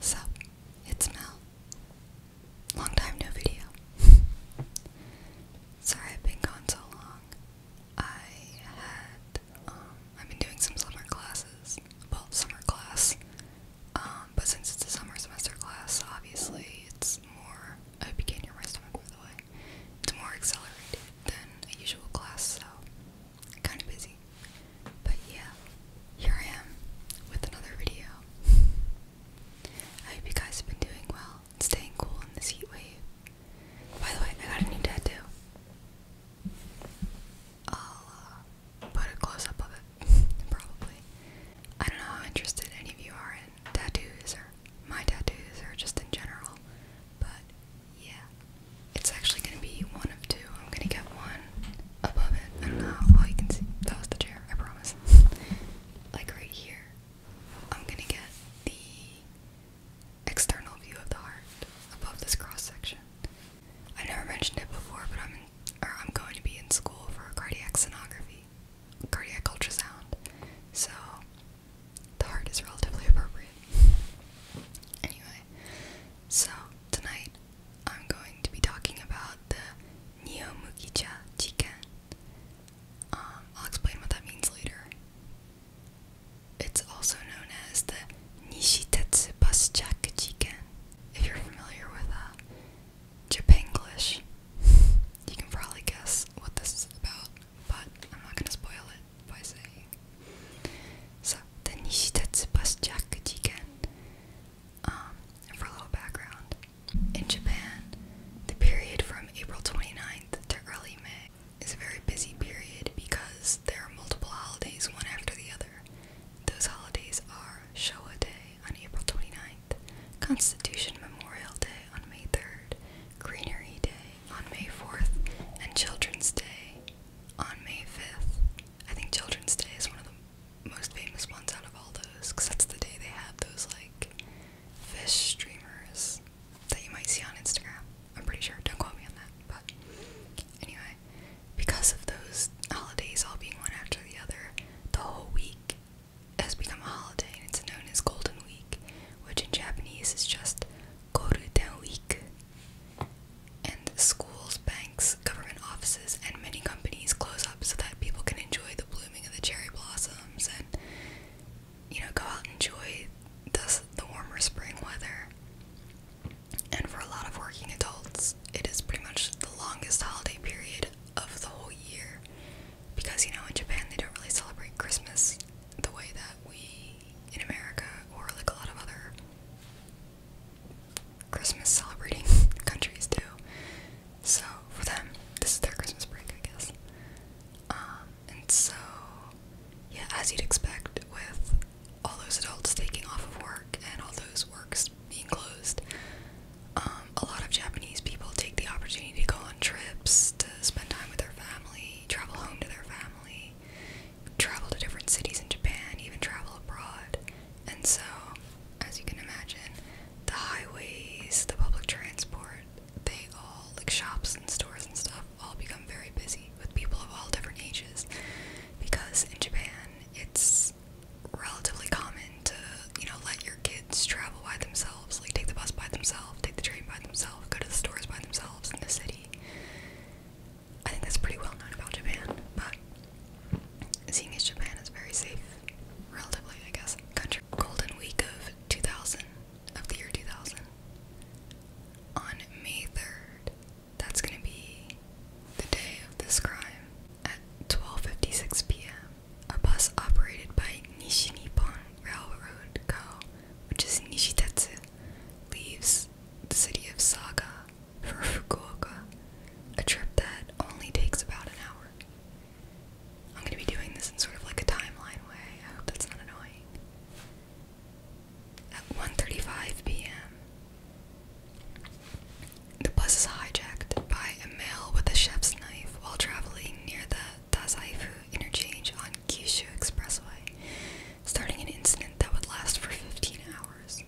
So, it's Mel. Long time no video. Sorry I've been gone so long. I had, um, I've been doing some summer classes. Well, summer class. Um, but since it's a summer semester class, obviously it's more, I hope you my stomach by the way. It's more accelerated than a usual class, so kind of busy. But yeah, here I am with another video. I hope you guys have been doing well and staying cool in this heat wave. By the way, I got a new tattoo. I'll uh, put a close up of it, probably. I don't know how interested any of you are in tattoos or my tattoos or just in general, but yeah. It's actually going to be one of two. I'm going to get one above it. I don't know you can see. That was the chair, I promise. like right here, I'm going to get the external view of the heart above this cross section. I never mentioned it before, but I'm or I'm going to be in school for cardiac sonography, cardiac ultrasound. So the heart is relatively appropriate. Anyway, so tonight I'm going to be talking about the Niomukicha chicken. Um, I'll explain what that means later. It's also known as the Nishitetsu Buschaka chicken. If you're familiar with Japanese, Japanglish, you can probably guess what this is about, but I'm not going to spoil it by saying. So, the Nishitetsu bus Jakujiken. Um, for a little background, in Japan, the period from April 29th to early May is a very busy period because there are multiple holidays one after the other. Those holidays are Showa Day on April 29th, Constitution Memorial Day on May 3rd, Greenery Day on May 4th, and Children's Day on May 5th. I think Children's Day is one of the most famous ones out of all those because that's the day they have those like fish streamers that you might see on Instagram. I'm pretty sure. Don't quote me on that. But anyway, because of those holidays all being one after the other, the whole week has become a holiday and it's known as Golden Week, which in Japanese is just Golden Week. And schools, banks, government offices, and many companies close up so that people can enjoy the blooming of the cherry blossoms and, you know, go out and enjoy the, the warmer spring weather. And for a lot of working adults, it is pretty much the longest holiday period of the whole year. Because, you know, in Japan they don't really celebrate Christmas the way that we in America or like a lot of other Christmas celebrating countries do. So for them, this is their Christmas break, I guess. Um, and so, yeah, as you'd expect, with all those adults taking off of work and all those works being closed, um, a lot of Japanese people take the opportunity to go on trips, to spend time with their family, travel home to their family, travel to different cities in Japan, even travel abroad. And so, as you can imagine, the highways, the public transport, they all, like shops and stores and stuff, all become very busy with people of all different ages. Because in Japan, it's relatively common to, you know, let your kids travel by themselves, like take the bus by themselves, take the train by themselves, go to the stores by themselves in the city. I think that's pretty well known about Japan, but seeing as Japan is very safe, relatively, I guess, country. Golden Week of 2000, of the year 2000, on May 3rd, that's gonna be the day of this crime. At 12.56 p.m., a bus operated by Nishi Nippon Railroad Co., which is Nishitetsu, leaves the city of Saga for Fukuoka, a trip that only takes about an hour. I'm going to be doing this in sort of like a timeline way. that's not annoying. At 1:35 p.m., the bus is hijacked by a male with a chef's knife while traveling near the Tazaifu interchange on Kyushu Expressway, starting an incident that would last for 15 hours.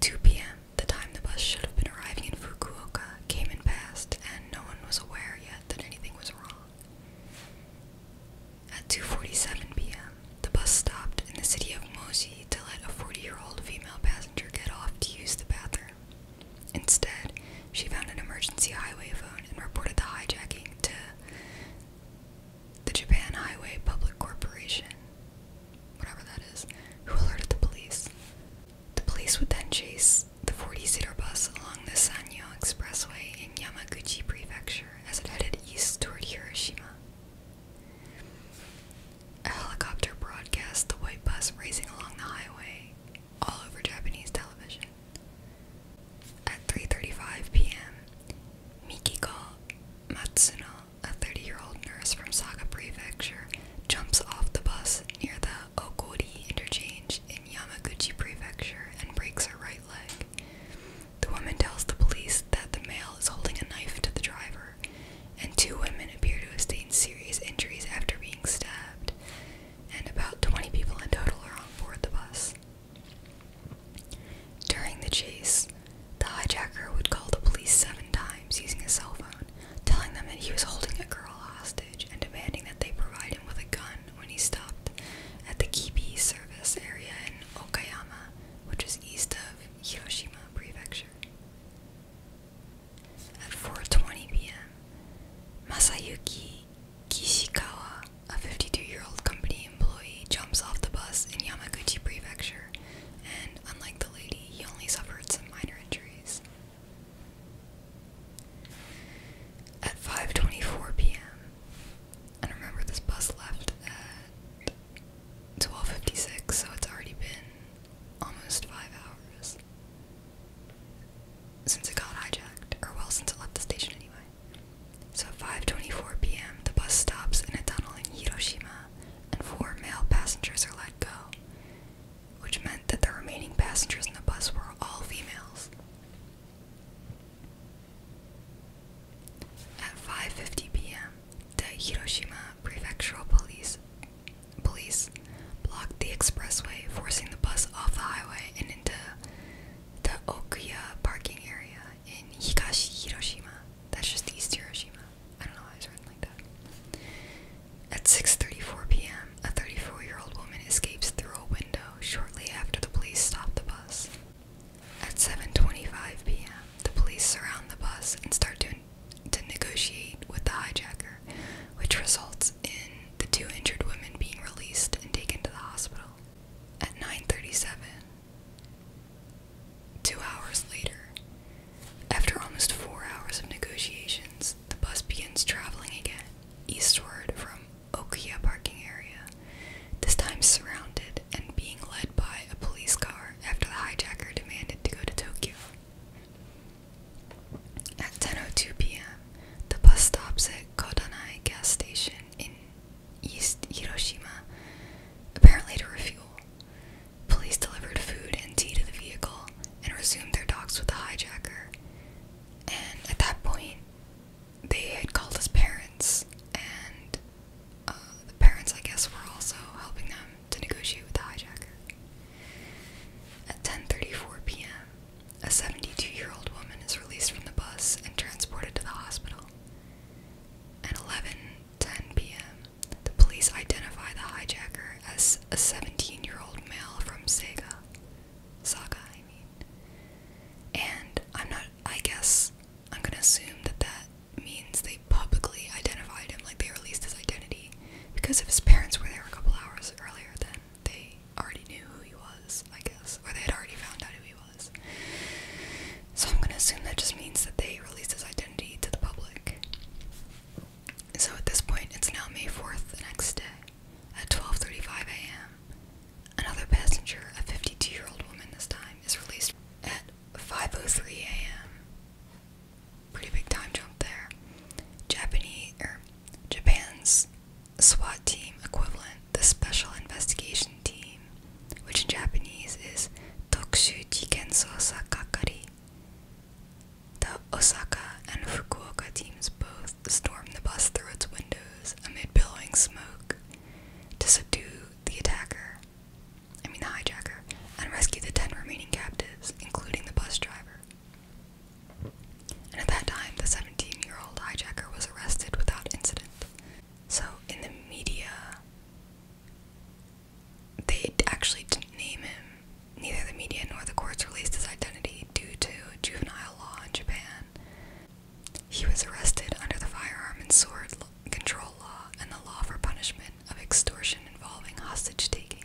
2 p.m., the time the bus should have been arriving in Fukuoka, came and passed, and no one was aware yet that anything was wrong. At 2:47 p.m., the bus stopped in the city of Moji to let a 40-year-old female passenger get off to use the bathroom. Instead, she found an emergency highway phone and reported the hijacking to the Japan Highway Public Corporation, whatever that is, who alerted the police. The police would then chase the 40 seater bus along the Sanyo Expressway in Yamaguchi Prefecture as it headed east toward Hiroshima. A helicopter broadcast the white bus racing along the highway all over Japanese television. At 3:35 p.m., Mikiko Matsuno a 30-year-old nurse from Saga Prefecture, jumps off the bus near the Okori interchange in Yamaguchi Prefecture and breaks her right leg. The woman tells the police that the male is holding a knife to the driver, and two women appear to have sustained serious injuries after being stabbed, and about 20 people in total are on board the bus. During the chase, the hijacker would call the police seven times using his cell phone, telling them that he was holding a girl hostage and demanding that they provide him with a gun when he stopped at the Kibi service area in Okayama, which is east of Hiroshima Prefecture. At 4:20 p.m., Masayuki Kishikawa, a 52-year-old company employee, jumps off the bus in Yamaguchi Prefecture and unlike the lady, he only suffered some minor injuries. At 5:24 p.m., and remember this bus left at 12:56, so it's already been almost five hours since it got hijacked, or well, since it left the station anyway. So at 5:24 p.m., the bus stops in a tunnel in Hiroshima and four male passengers are let go, which meant that the remaining passengers in the bus were all females. At 5:50 p.m., the Hiroshima Prefectural Police police blocked the expressway, forcing the bus off the highway and into the Okuya parking area in Higashi Hiroshima. That's just East Hiroshima. I don't know why it's written like that. At 6:34 p.m., a 34-year-old woman escapes through a window shortly after the police stop the bus. At 7:25 p.m., the police surround the bus and start to to negotiate with the hijacker, which results in the two injured women being released and taken to the hospital. At 9:37, Two hours later, after almost four hours of negotiations, the bus begins traveling again, eastward from Okia parking area, this time surrounded and being led by a police car after the hijacker demanded to go to Tokyo. At 10.02 p.m., the bus stops at Kodanai gas station in East Hiroshima, apparently to refuel. Police delivered food and tea to the vehicle and resumed their talks with the hijacker. And at that point, they had called his parents, and uh, the parents, I guess, were also helping them to negotiate with the hijacker. At 10:34 p.m., a 72-year-old woman is released from the bus and transported to the hospital. At 11, 10 p.m., the police identify the hijacker as a 17 year old male from Sega. Saga, I mean. And I'm not, I guess, I'm gonna assume that that means they publicly identified him, like they released his identity. Because if his parents were there a couple hours earlier, then they already knew who he was, I guess. Or they had already found out who he was. So I'm gonna assume that just means that they released his identity to the public. So at this point, it's now May 4th, the next day, at 12:35 a.m. Another passenger, a 52-year-old woman this time, is released at 5:03 a.m. Pretty big time jump there. Japanese or er, Japan's SWAT team equivalent, the Special Investigation Team, which in Japanese is Tokushu Jikenso Sakakari. The Osaka and Fukuoka teams both storm the bus through its windows amid billowing smoke to subdue the attacker, I mean the hijacker, and rescue the 10 remaining captives, including the bus driver. And at that time, the 17 year old hijacker was arrested without incident. So, in the media, they actually didn't name him. Neither the media nor the courts released his identity due to juvenile law in Japan. He was arrested under the firearm and sword control law and the law for punishment of extortion involving hostage taking.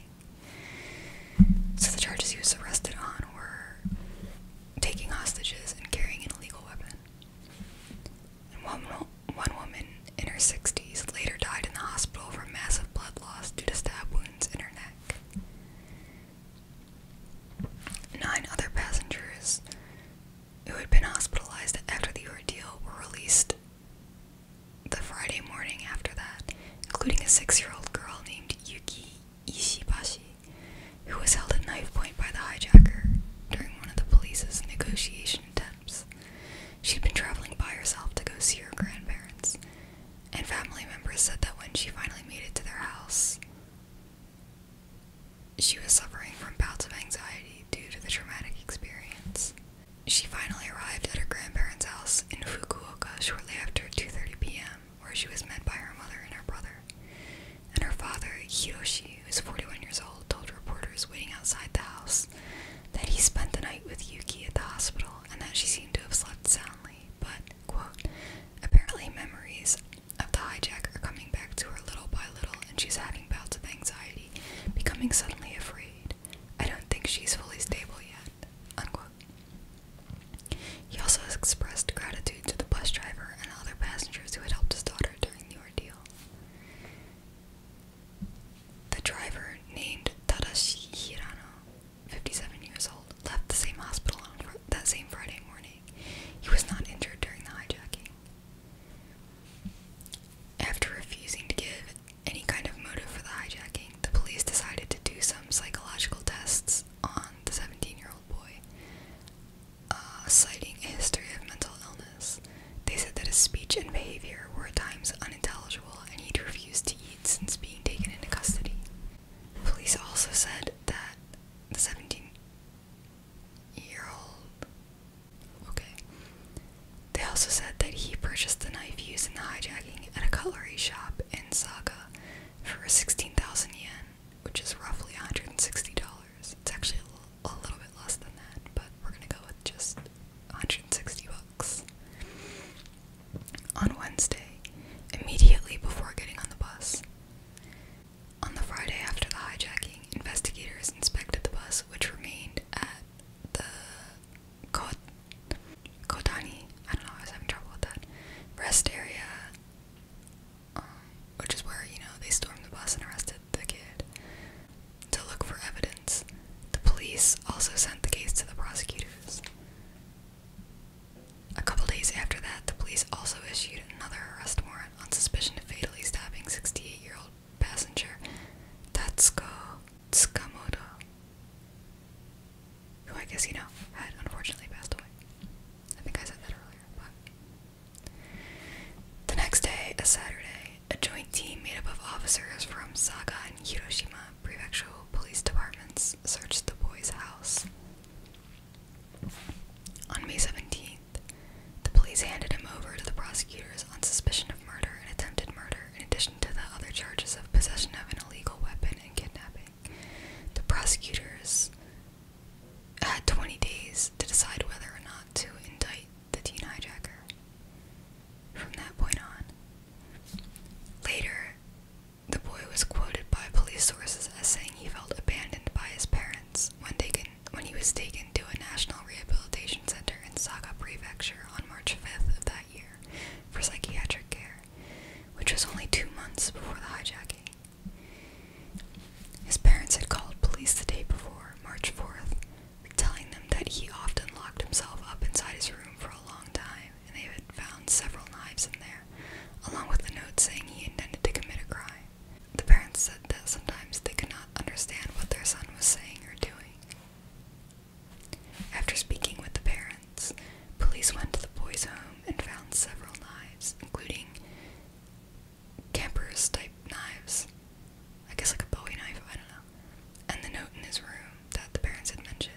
So the charges he was arrested on were taking hostages and carrying an illegal weapon. One woman in her 60s later died in the hospital from massive blood loss due to stab wounds in her neck. Nine other passengers who had been hospitalized after the ordeal were released the Friday morning after that, including a six year old girl named Yuki Ishibashi, who was held at knife point by the hijacker during one of the police's negotiations attempts. She'd been traveling by herself to go see her grandparents, and family members said that when she finally made it to their house, she was suffering from bouts of anxiety due to the traumatic experience. She finally arrived at her grandparents' house in Fukuoka shortly after 2:30 p.m., where she was met by her mother and her brother and her father, Hiroshi, who is 41 years old, told reporters waiting outside the house that he spent the night with Yuki at the hospital and that she seemed to have slept soundly, but, apparently memories of the hijack are coming back to her little by little and she's having bouts of anxiety, becoming suddenly afraid. I don't think she's fully stable yet, He also expressed gratitude to the bus driver and other passengers who had helped his daughter during the ordeal. The driver, named Tadashi Hirano, 57 years old, left the same hospital on that same Friday morning. He was not injured during the hijacking. After refusing to give any kind of motive for the hijacking, the police decided to do some psychological tests on the 17 year old boy. Uh, citing a history of mental illness. They said that his speech and behavior were at times unintelligible and he'd refused to eat since being taken into custody. Police also said that the 17 year old. Okay. They also said that he purchased the knife used in the hijacking at a cutlery shop in Saga for 16,000 yen, which is roughly $160. It's actually a little, bit less than that, but we're gonna go with just 160 bucks. On Wednesday, immediately before getting on the bus. On the Friday after the hijacking, investigators inspected the bus, which remained at the Kot Kotani. I don't know. I was having trouble with that. Rest area. Um, which is where, you know, they stormed the bus and arrested the kid, to look for evidence. The police also sent the case to the prosecutors. A couple days after that, the police also issued another arrest warrant on suspicion of fatally stabbing 68-year-old passenger Tatsuko Tsukamoto, who I guess you know had unfortunately passed away. I think I said that earlier, but the next day, a Saturday, a joint team made up of officers from Saga and Hiroshima prefectural police departments searched the boy's house. On May 17th, the police handed him over to the prosecutors on suspicion of murder and attempted murder, in addition to the other charges of possession of an illegal weapon and kidnapping. The prosecutors had 20 days to decide whether or not to indict the teen hijacker. From that point on. Later, the boy was quoted by police sources as saying he felt abandoned by his parents when taken when he was taken to a national rehabilitation center in Saga Prefecture on March 5th of that year for psychiatric care, which was only two months before the hijacking. His parents had called police the day before, March 4th, telling them that he often locked himself up inside his room for a long time and they had found several knives in there, along with a note saying he intended to commit a crime. The parents said that sometimes they could not understand what their son was saying or doing. After speaking with the parents, police went to the boy's home and found several knives, including campers type knives. I guess like a Bowie knife, I don't know. And the note in his room that the parents had mentioned.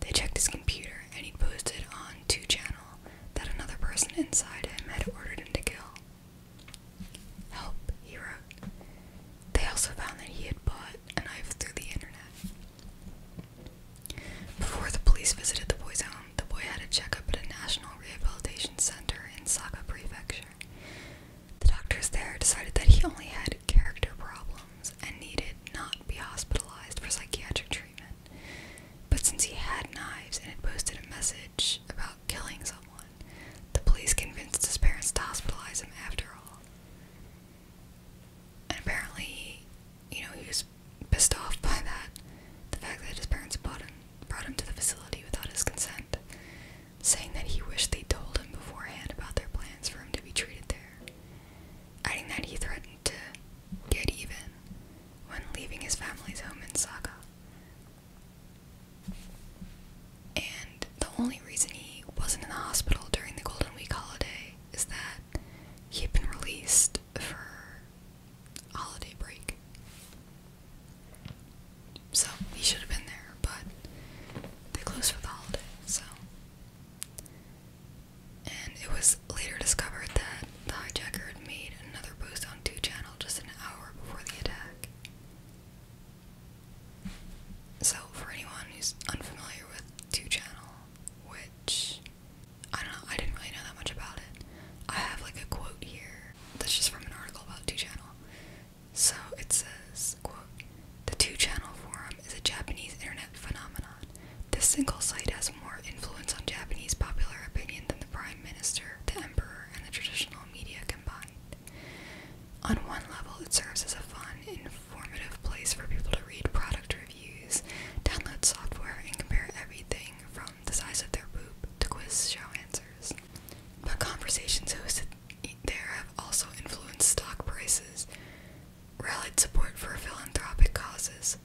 They checked his computer and he posted on 2channel that another person inside him had ordered him to kill. Help, he wrote. They also found that he had bought a knife through the internet. Before the police visited the boy's home, the boy had a checkup at a national rehabilitation center in Saga Prefecture pressure. The doctors there decided that he only had character problems and needed not be hospitalized for psychiatric treatment. But since he had knives and had posted a message about killing someone, the police convinced his parents to hospitalize him after all. And apparently, you know, he was pissed off by that. The fact that his parents bought him brought him to the facility without his consent, saying that he wished they told him beforehand about their plans for him to be treated there, adding that he threatened to get even when leaving his family's home in Saga. And the only reason he wasn't in the hospital during the Golden Week holiday is that he had been released for holiday break. So we should have been there, but they closed for the holiday, so. And it was later discovered that the hijacker had made another post on 2channel just an hour before the attack. So, for anyone who's unfamiliar with 2channel, which I don't know, I didn't really know that much about it, I have like a quote here that's just from an article about Two Channel. So it says, quote, the Two Channel Forum is a Japanese internet phenomenon. This single site has more influence on Japanese popular opinion than the Prime Minister, the Emperor, and the traditional media combined. On one level, it serves as a fun, informative place for people to read product reviews, download software, and compare everything from the size of their poop to quiz show answers. But conversations hosted there have also influenced stock prices, rallied support for philanthropic causes,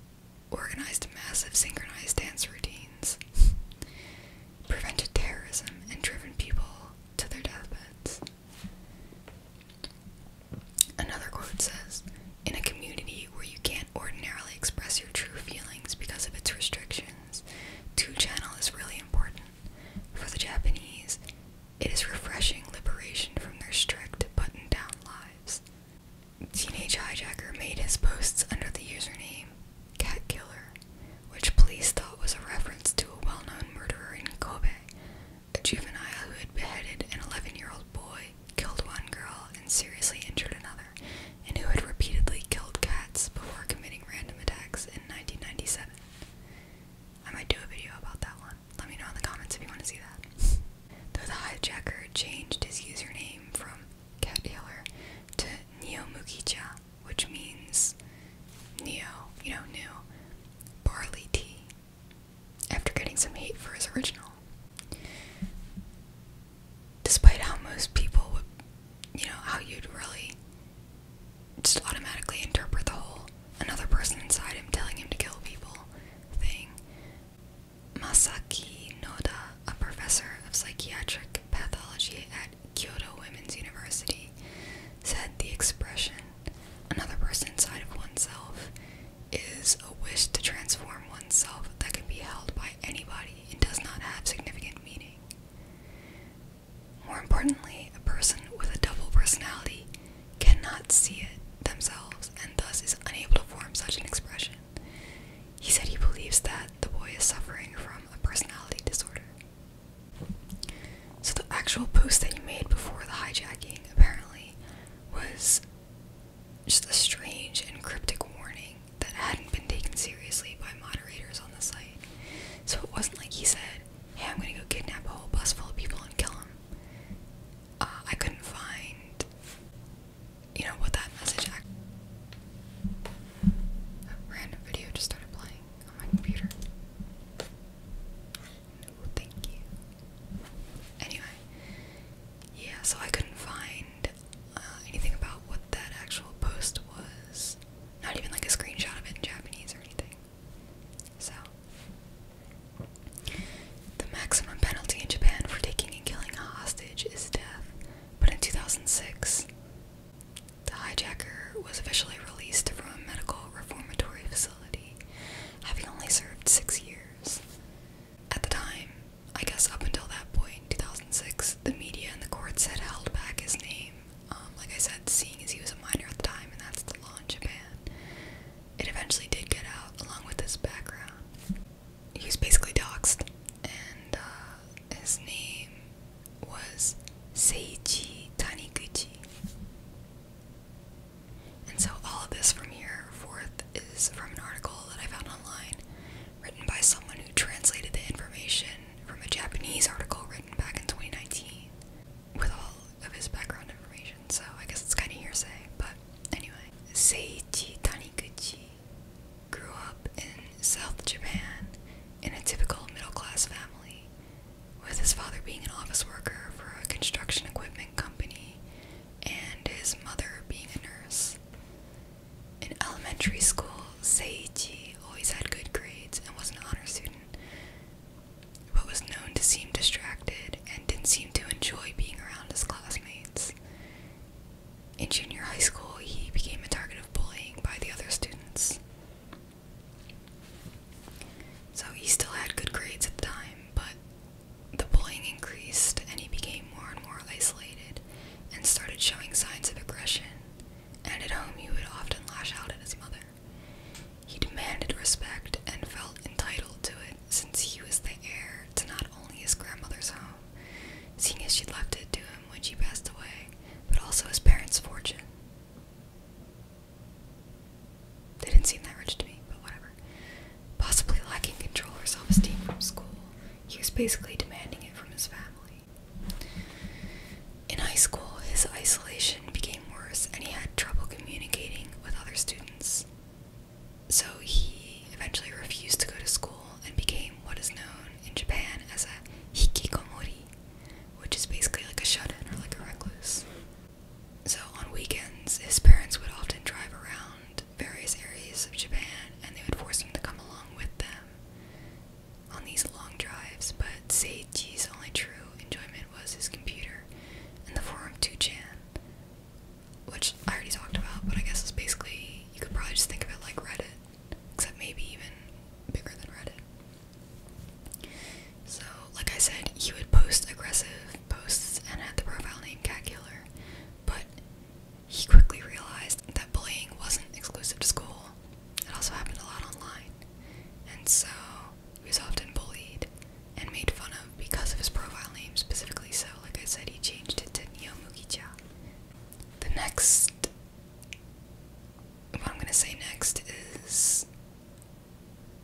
organized massive synchronized dance routines, prevented terrorism, and driven people to their deathbeds. Another quote says In a community where you can't ordinarily express your true feelings because of its restrictions, two channel is really important. For the Japanese, it is refreshing liberation from their strict button down lives. Teenage Hijacker made his posts under the username Cat Killer, which police thought was a reference to a well known murderer in Kobe, a juvenile who had beheaded an 11 year old boy, killed one girl, and seriously injured another, and who had repeatedly killed cats before committing random attacks in 1997. I might do a video about that one. Let me know in the comments if you want to see that. Though the hijacker changed his username from Cat Taylor to Neo Mukicha, which means Neo, you know, new, barley tea, after getting some hate for his original despite how most people would, you know, how you'd really just automatically interpret the whole another person inside him telling him to kill people thing. Masaki Noda, a professor of psychiatric pathology at Kyoto Women's University, said the expression another person inside of oneself is a wish to transform oneself that can be held by anybody and does not have significant meaning. More importantly, a person with a double personality cannot see it themselves and thus is unable to form such an expression. He said he believes that the boy is suffering from a personality disorder. So, the actual post that you made before the hijacking apparently was just a strange and cryptic warning that hadn't been taken seriously by moderators on the site. So it wasn't like he said, hey, I'm gonna go kidnap a whole bus full of people and kill them. Uh, I couldn't find, you know, what that message Random video just started playing on my computer. thank you. Anyway, yeah, so I couldn't find uh, anything about what that actual post was. Not even like a screenshot of it in Japanese or anything. So, the maximum penalty in Japan for taking and killing a hostage is death, but in 2006, the hijacker was officially released from a medical reformatory facility, having only served six years. At the time, I guess up until that point, in 2006, the media and the courts had held back his name. Um, like I said, seeing as he was a minor at the time, and that's the law in Japan, it eventually did get out along with his background. He was basically doxxed, and uh, his name was Seiji Taniguchi. And so all of this from here forth is from an article that I found online written by someone who translated the information from a Japanese article written back in 2019 with all of his background information. So I guess it's kind of hearsay, but anyway. Seiji Taniguchi grew up in South Japan in a typical middle class family, with his father being an office worker for a construction equipment company and his mother being a nurse. In elementary school, Seiichi always had good grades and was an honor student, but was known to seem distracted and didn't seem to enjoy being around his classmates. In junior high school, he became a target of bullying by the other students. So he still had good grades at the time, but the bullying increased and he became more and more isolated and started showing signs of aggression, and at home he would often lash out at his mother. He demanded respect and felt entitled to it since he was the heir to not only his grandmother's home, seeing as she would left it to him when she passed away, but also his parents' fortune. They didn't seem that rich to me, but whatever. Possibly lacking control or self esteem from school, he was basically demanding it from his family. In high school, his isolation became worse and he had trouble communicating with other students. So he eventually refused to go to school and became what is known in Japan as a hikikomori, which is basically like a shut in or like a recluse. So on weekends, his parents would often drive around various areas of Japan and they would force him to come along with them um, on these long drives, but Seiji's only true enjoyment was his computer and the forum 2chan, which I already talked about, but I guess it's basically, you could probably just think of it like Reddit, except maybe even bigger than Reddit. So, like I said, he would post aggressive posts and had the profile name Cat Killer, but he quickly realized that bullying wasn't exclusive to school, it also happened a lot online, and so he was often bullied and made fun of because of his profile name specifically. So, like I said, he changed it to Neo Mugicha. The next, what I'm gonna say next is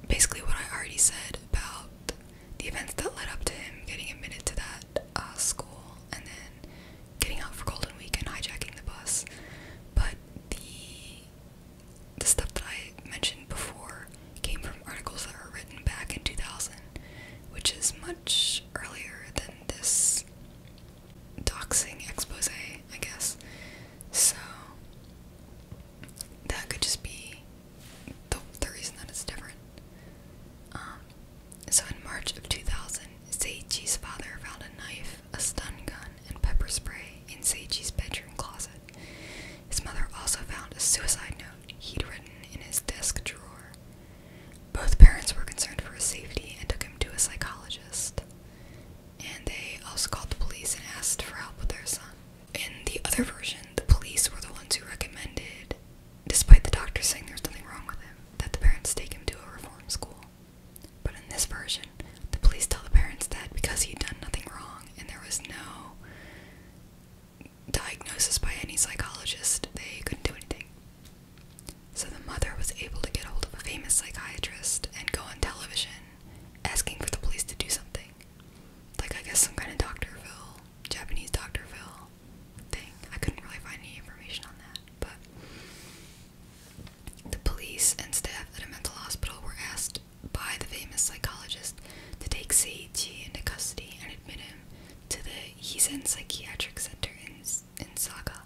basically what I already said about the events that led up to him getting admitted to that uh, school and then getting out for Golden Week and hijacking the bus. But the the stuff that I mentioned before came from articles that were written back in 2000, which is much earlier than this doxing expose, I guess. So that could just be the, the reason that it's different. Um, so in March of 2000, Seiji's father found a knife, a stun gun, and pepper spray in Seiji's bedroom closet. His mother also found a suicide note he'd written in his desk drawer. Both parents were concerned for his safety and took him to a psychologist. And they also called the police and asked for help with their son. In the other version, the police were the ones who recommended despite the doctor saying there's nothing wrong with him, that the parents take him to a reform school. But in this version, the police tell the parents that because he'd done nothing wrong and there was no diagnosis by any psychologist, they couldn't do anything. So the mother was able to get hold of a famous psychiatrist and go on television asking for the police to do something. Like, I guess, some kind of Dr. Phil, Japanese Dr. Phil thing. I couldn't really find any information on that, but the police and staff at a mental hospital were asked by the famous psychologist to take Seiichi into custody and admit him to the Heisen Psychiatric Center in, in Saga.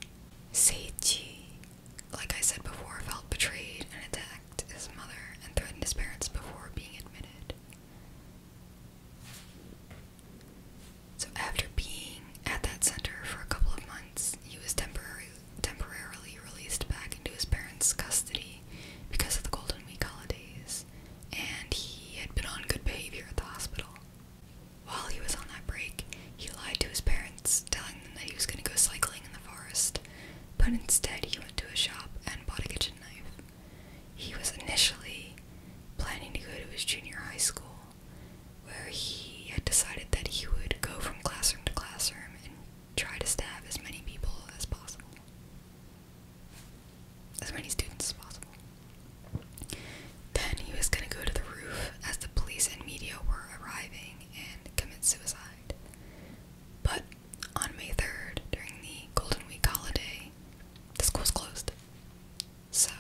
Seiichi, like I said before, felt betrayed and attacked his mother and threatened his parents before being admitted. So after being at that center for a couple of months, he was temporarily temporarily released back into his parents' custody because of the Golden Week holidays, and he had been on good behavior at the hospital. While he was on that break, he lied to his parents, telling them that he was going to go cycling in the forest, but instead he went to a shop and bought a kitchen knife. He was initially planning to go to his junior high school, where he had decided that he would go from classroom to classroom and try to stab as many people as possible. As many students as possible. Then he was going to go to the roof as the police and media were arriving and commit suicide. But on May 3rd, during the Golden Week holiday, the school was closed. So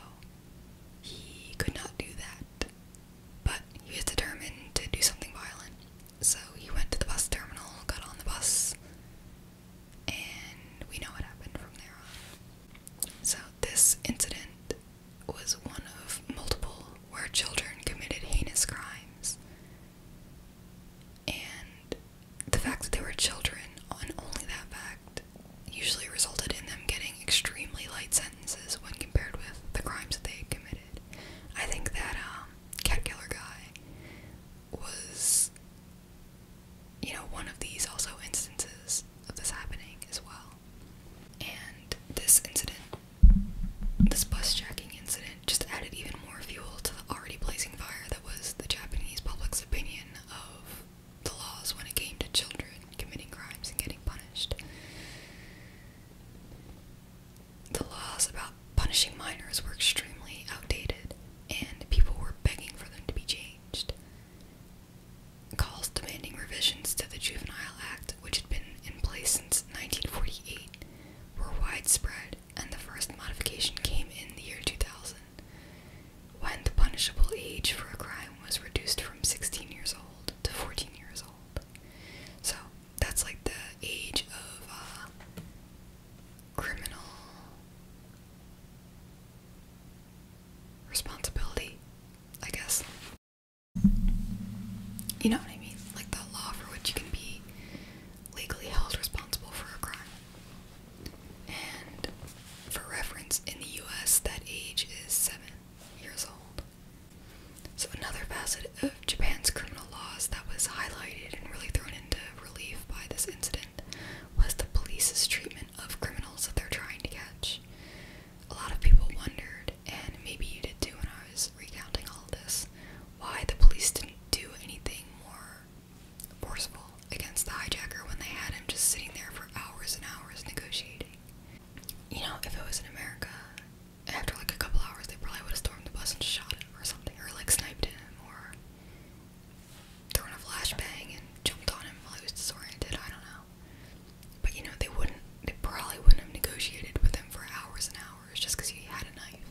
he could not do that. But he was determined to do something violent. So he went to the bus terminal, got on the bus, and we know what happened from there on. So this incident was one of multiple where children committed heinous crimes. And the fact that they were children, on only that fact, usually resulted in them getting extremely light sentences when compared with the crimes that they had committed. I think that um, cat killer guy was, you know, one of these also instances of this happening as well. And this incident, this bus jacking incident, just added even more fuel to the already blazing fire that was the Japanese public's opinion of the laws when it came to children committing crimes and getting punished. The laws about punishing minors were extremely outdated, and people were begging for them to be changed. Calls demanding revisions to the Juvenile Act, which had been in place since 1948, were widespread, and the first modification came in the year 2000 when the punishable age for a crime was reduced from 16 years old to 14 years old. So that's like the age of uh, criminal responsibility, I guess. You know what I mean? Like the law for which you can be legally held responsible for a crime. And for reference, in the US, that age is seven years old. So, another facet of Japan's criminal laws that was highlighted and really thrown into relief by this incident was the police's treatment of criminals that they're trying to catch. A lot of people wondered, and maybe you did too when I was recounting all this, why the police didn't do anything more forceful against the hijacker when they had him just sitting there for hours and hours negotiating. You know, if it was in America, after like a couple hours, they probably would have stormed the bus and shot him or something, or like sniped him, or thrown a flashbang and jumped on him while he was disoriented. I don't know. But you know, they wouldn't, they probably wouldn't have negotiated with him for hours and hours just because he had a knife.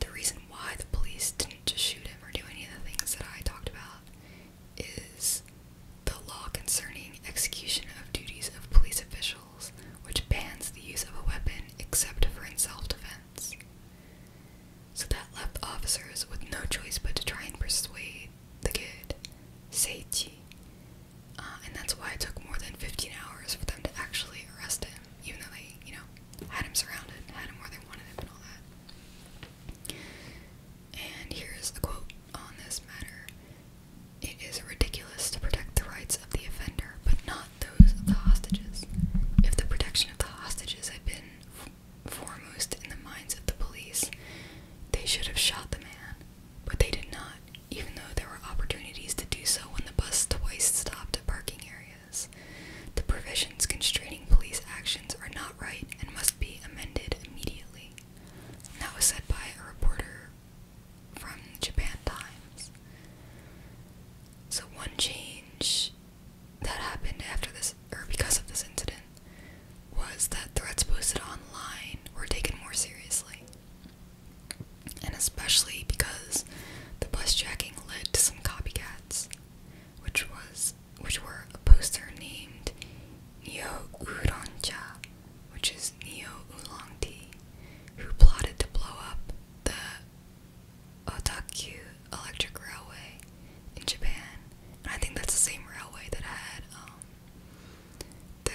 The reason why the police didn't just shoot him or do any of the things that I talked about is the law concerning execution of duties of police officials, which bans the use of a weapon except for in self defense. So that left officers with no choice but to try and persuade the kid, Seichi. Uh, and that's why it took more than 15 hours for them to actually arrest him, even though they, you know, had him surrounded, had him where they wanted him, and all that. And here is a quote on this matter It is ridiculous to protect the rights of the offender, but not those of the hostages. If the protection of the hostages had been foremost in the minds of the police, they should have shot the man, but they did not, even though there were opportunities to do so when the bus twice stopped at parking areas. The provisions constraining police actions are not right and must be amended immediately. that was said by a reporter from Japan Times. So one change that happened after this, or because of this incident, was that threats posted online were taken more seriously. And especially because the bus jacking led to some copycats, which was which were a poster named Neo Uroncha, which is Neo Oolong Tea, who plotted to blow up the Otaku Electric Railway in Japan. And I think that's the same railway that I had um, the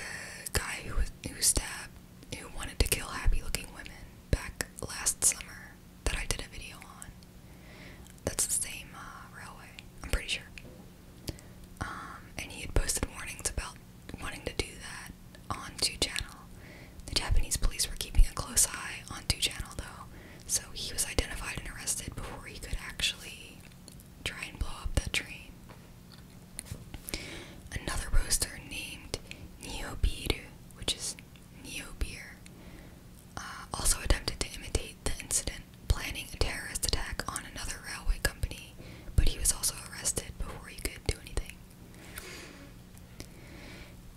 guy who was who stabbed who wanted to kill happy looking women back last summer that I did a video on. That's the same uh, railway, I'm pretty sure. Um, and he had posted warnings about wanting to do that on 2channel. The Japanese police were keeping a close eye on 2channel though, so he was identified and arrested before he could actually try and blow up that train. Another roaster named Neo Biru, which is Neo Beer, uh, also attempted to imitate the incident, planning a terrorist attack on another railway company, but he was also arrested before he could do anything.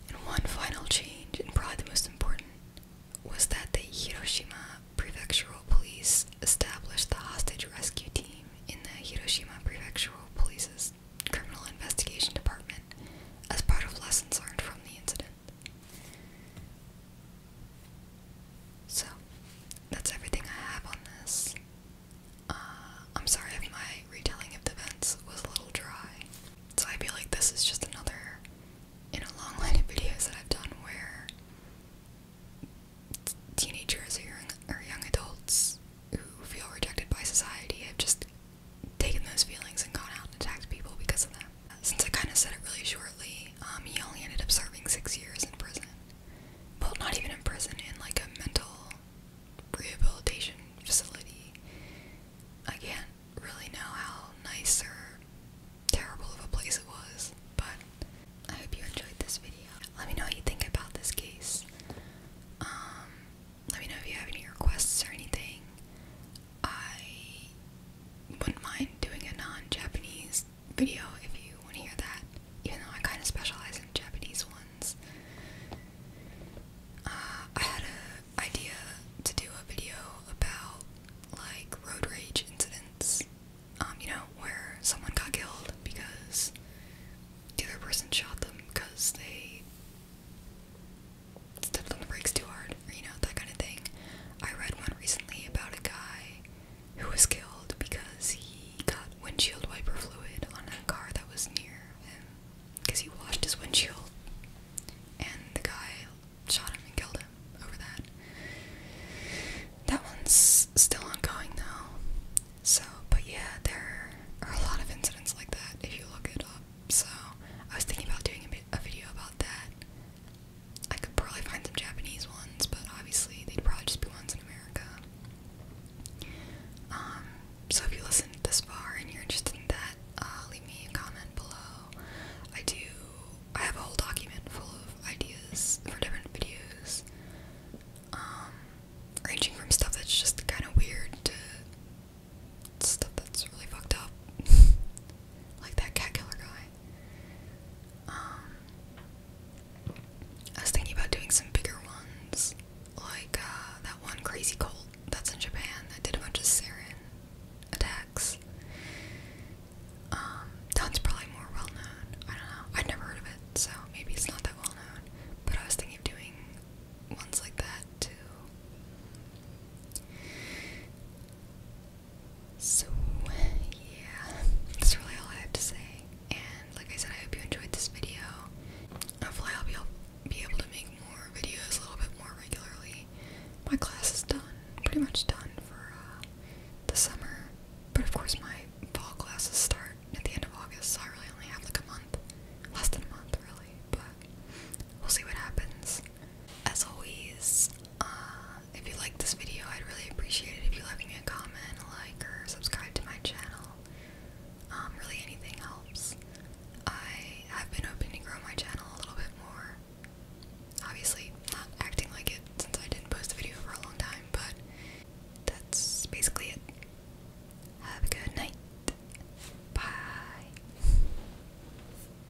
And one final change, and probably the most important, was that the Hiroshima Prefectural Police established the hostage rescue team in the Hiroshima Prefectural Police's Criminal Investigation Department as part of lessons learned from the incident. So, that's everything I have on this. Uh, I'm sorry if my retelling of the events was a little dry. So, I feel like this is just another in a long line of videos that I've done where teenagers or young, or young adults who feel rejected by society have just taken those feelings and gone out and attacked people because of them. Since I kind of said it really shortly, um, he only ended up serving six years in prison. Well, not even in prison, in like a mental rehabilitation facility. I can't really know how nice or terrible of a place it was, but I hope you enjoyed this video. Let me know what you think about this case. Um, let me know if you have any requests or anything. I wouldn't mind doing a non-Japanese video if you want to hear that, even though I kind of specialize in Japanese ones. Uh, I had an idea to do a video about like road rage incidents, um, you know, where someone got killed because the other person shot them because they stepped on the brakes too hard, you know, that kind of thing. I read one recently about a guy who was killed because he got windshield wiper fluid on a car that was near him because he washed his windshield, and the guy shot him and killed him over that. That one's still ongoing though. So, but yeah, there are a lot of incidents like that if you look it up. So, I was thinking about doing a video about that. I could probably find some Japanese ones, but obviously they'd probably just be ones in America. Um, so if you listened this far and you're interested in that, uh, leave me a comment below. I do, I have a whole document full of ideas for different videos, um, ranging from stuff that's just kind of weird to stuff that's really fucked up, like that cat killer guy. Um, I was thinking about doing some bigger ones, like uh, that one crazy cult that's in Japan that did a bunch of sarin attacks. Um, that's probably more well known. I don't know. I'd never heard of it, so maybe it's not that well known. But I was thinking of doing ones like that too. So, yeah, that's really all I have to say. And like I said, I hope you enjoyed this video. Hopefully, I'll be, be able to make more videos a little bit more regularly. My class is done, pretty much done for uh, the summer. But of course, my fall classes start at the end of August, so I really only have like a month. Less than a month, really. But we'll see what happens. As always, uh, if you like this video, I'd really appreciate it if you left me a comment, like, or subscribe to my channel. Um, really, anything helps. I have been hoping to grow my channel a little bit more. Obviously, not acting like it since I didn't post a video for a long time, but that's basically it. Have a good night. Bye.